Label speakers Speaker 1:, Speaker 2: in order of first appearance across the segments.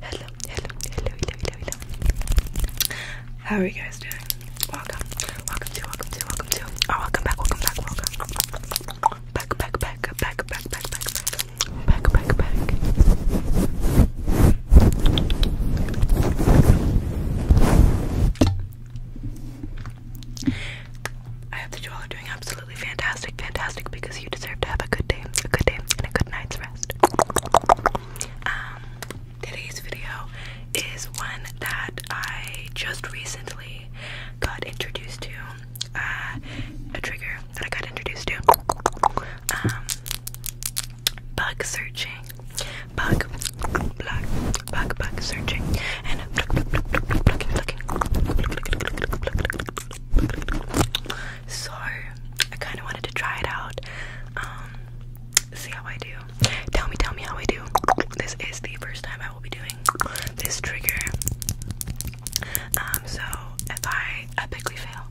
Speaker 1: hello, hello, hello, hello, hello. How are you guys doing? Welcome, welcome to, welcome to, welcome to. Oh, welcome back, welcome back, welcome. Back, back, back, back, back, back, back, back, back, back, back. I hope that you all are doing absolutely fantastic, fantastic, because you deserve to have a good day, a good day, and a good night's rest today's video is one that I just recently got introduced to. a trigger that I got introduced to. bug searching. Bug, bug, bug, bug searching. And so I kind of wanted to try it out. Um, see how I do. Tell me, tell me how I do. This is the first time I will be doing this trigger. Um, so if I epically fail,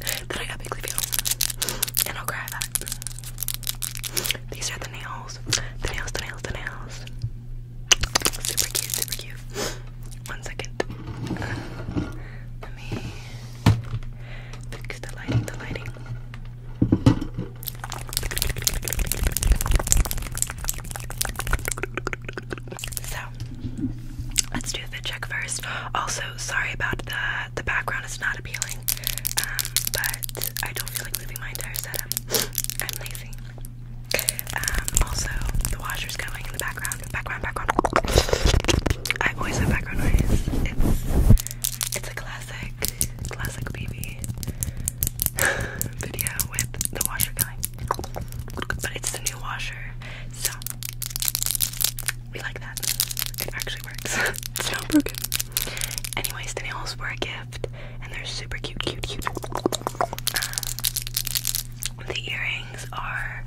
Speaker 1: then I epically fail, and I'll cry These are the nails, the nails, the nails, the nails. Super cute, super cute. One second. let me Fix the lighting, the lighting. So let's do the check first. Also, sorry about the the background is not appealing, um, but I don't feel like moving my entire setup. I'm lazy. Um, also, the washer's going in the background background, background, I always have background noise. It's a classic, classic BB video with the washer going, but it's the new washer, so we like that. It actually works. it's not broken. Anyways, the nails were a gift, and they're super cute, cute, cute. the earrings are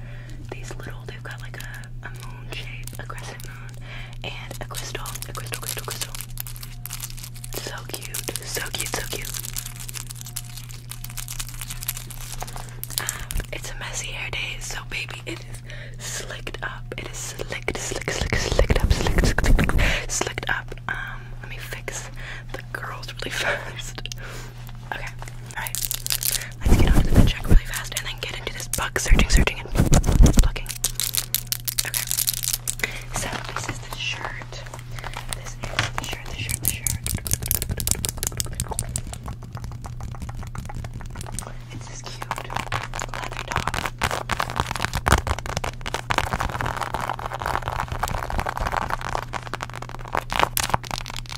Speaker 1: these little They've got like a, moon shape, a crescent moon, and a crystal, a crystal, crystal, crystal. So cute, so cute, so cute. Um, it's a messy hair day, so baby, it is slicked up. It is slicked, slick, slick, slicked up, slicked, slicked, slicked up. Um, let me fix the curls really fast. Okay. Alright. Let's get on the bed check really fast and then get into this bug searching, searching, and looking. Okay. So, this is the shirt. This is the shirt, the shirt, the shirt. It's this cute leather dog.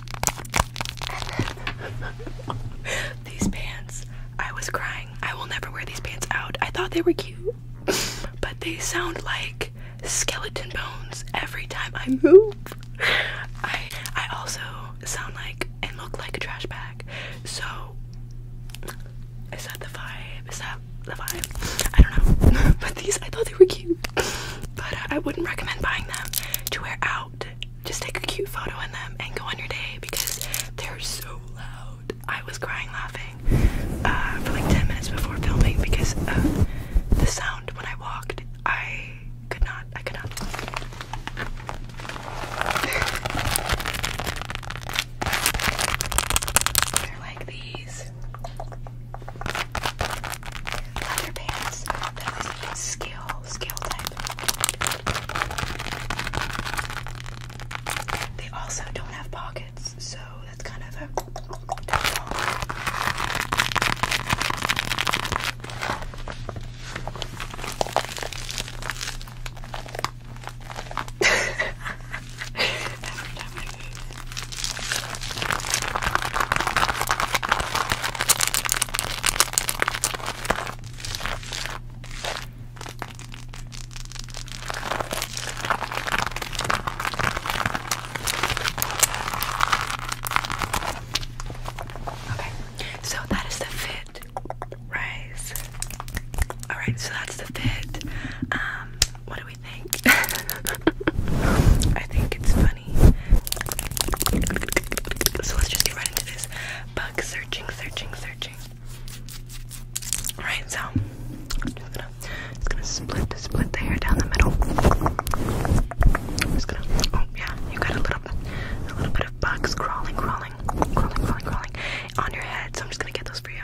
Speaker 1: these pants, I was crying. I will never wear these pants out. I thought they were cute, but they sound like skeleton bones every time I move. I I also sound like and look like a trash bag. So is that the vibe? Is that the vibe? I don't know. but these I thought they were cute. But I wouldn't recommend buying them to wear out just take a cute photo in them and go on your day because they're so loud. I was crying laughing uh, for like 10 minutes before filming because the sound when I walked. I could not, I could not. They're like these leather pants scale scale type. They also don't have pockets, so that's kind of a Okay, so that is the fit rice. Alright, so that's the fit. Um, what do we think? I think it's funny so let's just get right into this bug searching, searching, searching. Alright, so I'm just gonna, just gonna split, split the hair down the middle. just gonna, oh yeah, you got a little, a little bit of bugs crawling, crawling, crawling, crawling, crawling on your head. So I'm just gonna get those for you.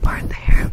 Speaker 1: part the hair.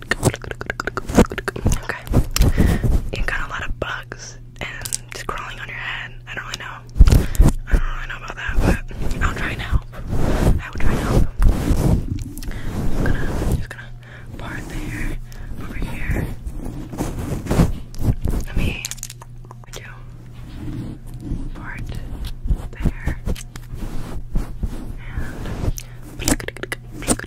Speaker 1: Okay. You got a lot of bugs and just crawling on your head. I don't really know. I don't really know about that, but I'll try and I will try and I'm gonna, just gonna part there, over here. Let me do part there. And Alright, just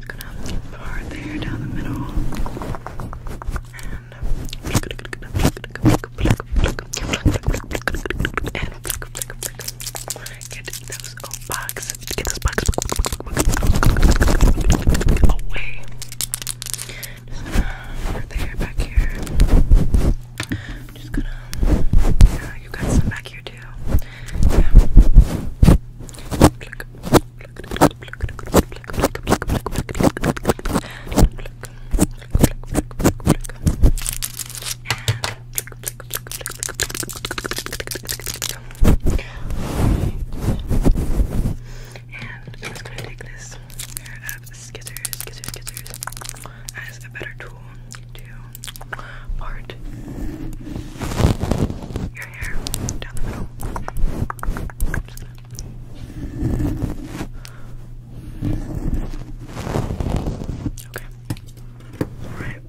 Speaker 1: gonna part there down the middle. And get those oh, bugs. Get those bugs away. there, back here. I'm just gonna. Yeah, you got some back here too. And I'm just gonna take this pair of skizzers, skizzers, skizzers as a better tool to part your hair down the middle. Okay. Alright.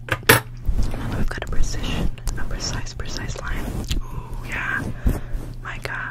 Speaker 1: Now we've got a precision, a precise, precise line. Ooh, yeah. My god.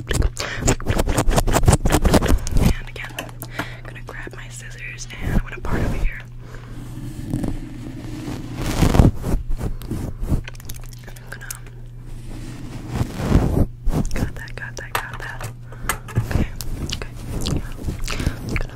Speaker 1: And again, I'm gonna grab my scissors and I'm gonna part over here. And I'm gonna. Got that, got that, got that. Okay, okay. Yeah. I'm gonna.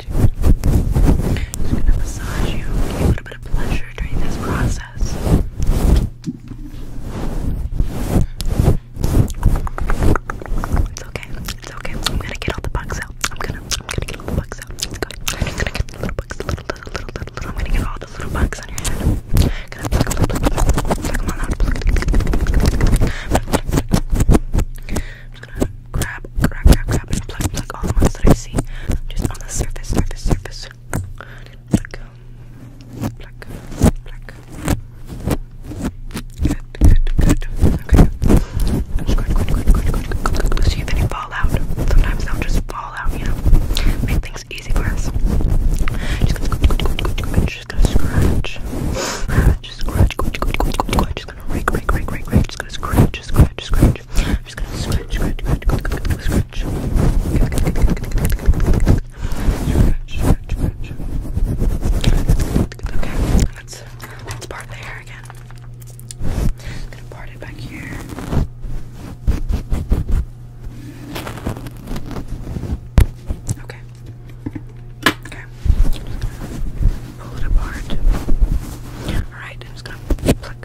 Speaker 1: touching. Just gonna massage you, give you a little bit of pleasure during this process. It's okay. It's okay. I'm gonna get all the bugs out. I'm gonna, I'm gonna get all the bugs out. It's good. I'm gonna get the little bugs, little, little, little, little, I'm gonna get all those little bugs on your head. I'm just gonna grab, grab, grab, grab, and pluck, pluck all the ones that I see just on the surface, surface, surface. Pluck, pluck, pluck. Good, good, good. Okay. I'm just going, going, going, going, going, going, going to see if any fall out. Sometimes they'll just fall out, you know. Make things easy for us. Just gonna, go, go, go, go, go, just gonna scratch, scratch, scratch, go, go, go, go, go, go. Just gonna rake, rake, rake, rake, rake. Just gonna scratch, scratch, scratch. I'm just gonna scratch, scratch, scratch, scratch. Scratch, scratch, scratch. Okay, let's let's part the hair again. I'm gonna part it back here. Okay. Okay. Pull it apart. Alright, I'm just gonna pluck,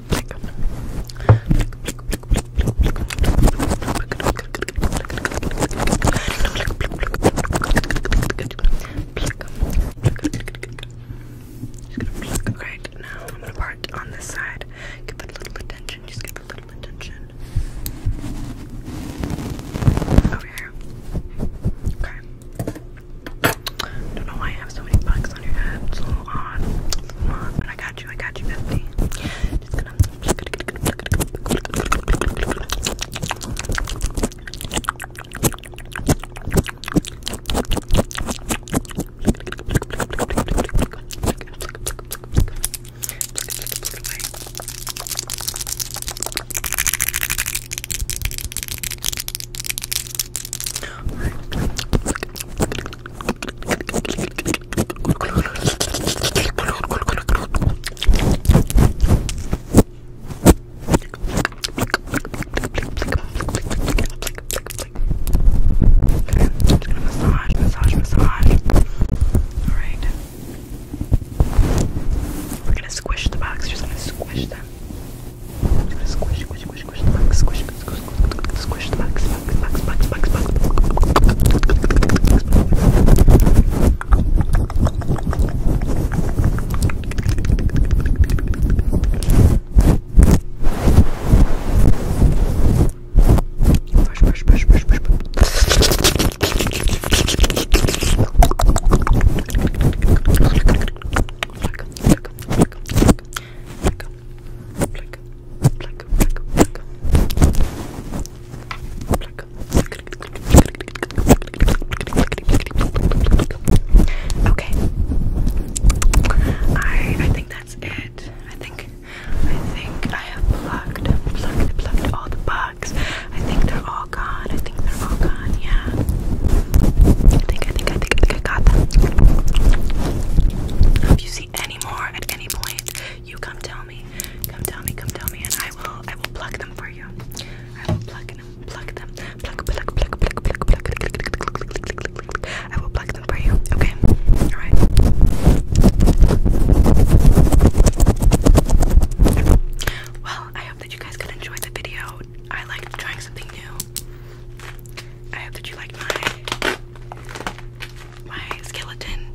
Speaker 1: Makeup. Okay, now I'm gonna part on this side. Give it a little attention. Just give it a little attention. Over here. Okay. Don't know why you have so many bugs on your head. It's a little odd. It's I got got you, I got you, Bethany. Just gonna, just gonna, Alright. Just gonna massage, massage, massage. Alright. We're gonna squish the box. We're just gonna squish them. Just gonna squish, squish, squish, squish the box. Squish. squish the max, max, max, max, max, max. Push, push, push, push, push, push. Okay. I I think that's it. I think I think I have plugged plugged plugged all the bugs. I think they're all gone. I think they're all gone, yeah. I think I think I think I think I got them. Have you seen anymore at any point, you come tell me. Come tell me, come tell me, and I will I will pluck them for you. I will pluck them, pluck them, pluck, pluck, pluck, pluck, pluck, pluck, pluck, pluck. I will pluck them for you. Okay? Alright. Well, I hope that you guys could enjoy the video. I like trying something new. I hope that you like my my skeleton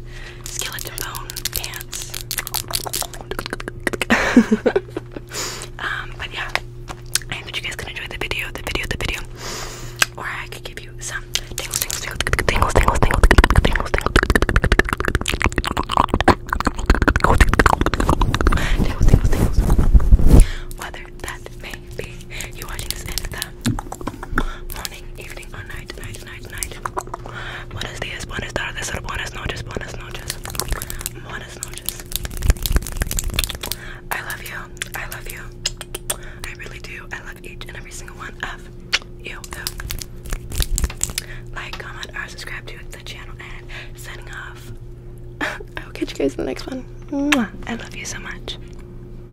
Speaker 1: skeleton bone pants. um, but yeah, I hope you guys can enjoy the video, the video, the video. Or I could give you some tingles, tingles, tingles, tingles, tingles, tingles, tingles, tingles, tingles, tingles, tingles, tingles. Whether that may might be you watching this in the morning, evening, or night, night, night, night. Buenos dias, buenas tardes, or buenas noches, buenas noches, buenas noches. I love you. I love you. I really do. I love each and every single one of you. Like, comment, or subscribe to the channel, and signing off. I will catch you guys in the next one. I love you so much.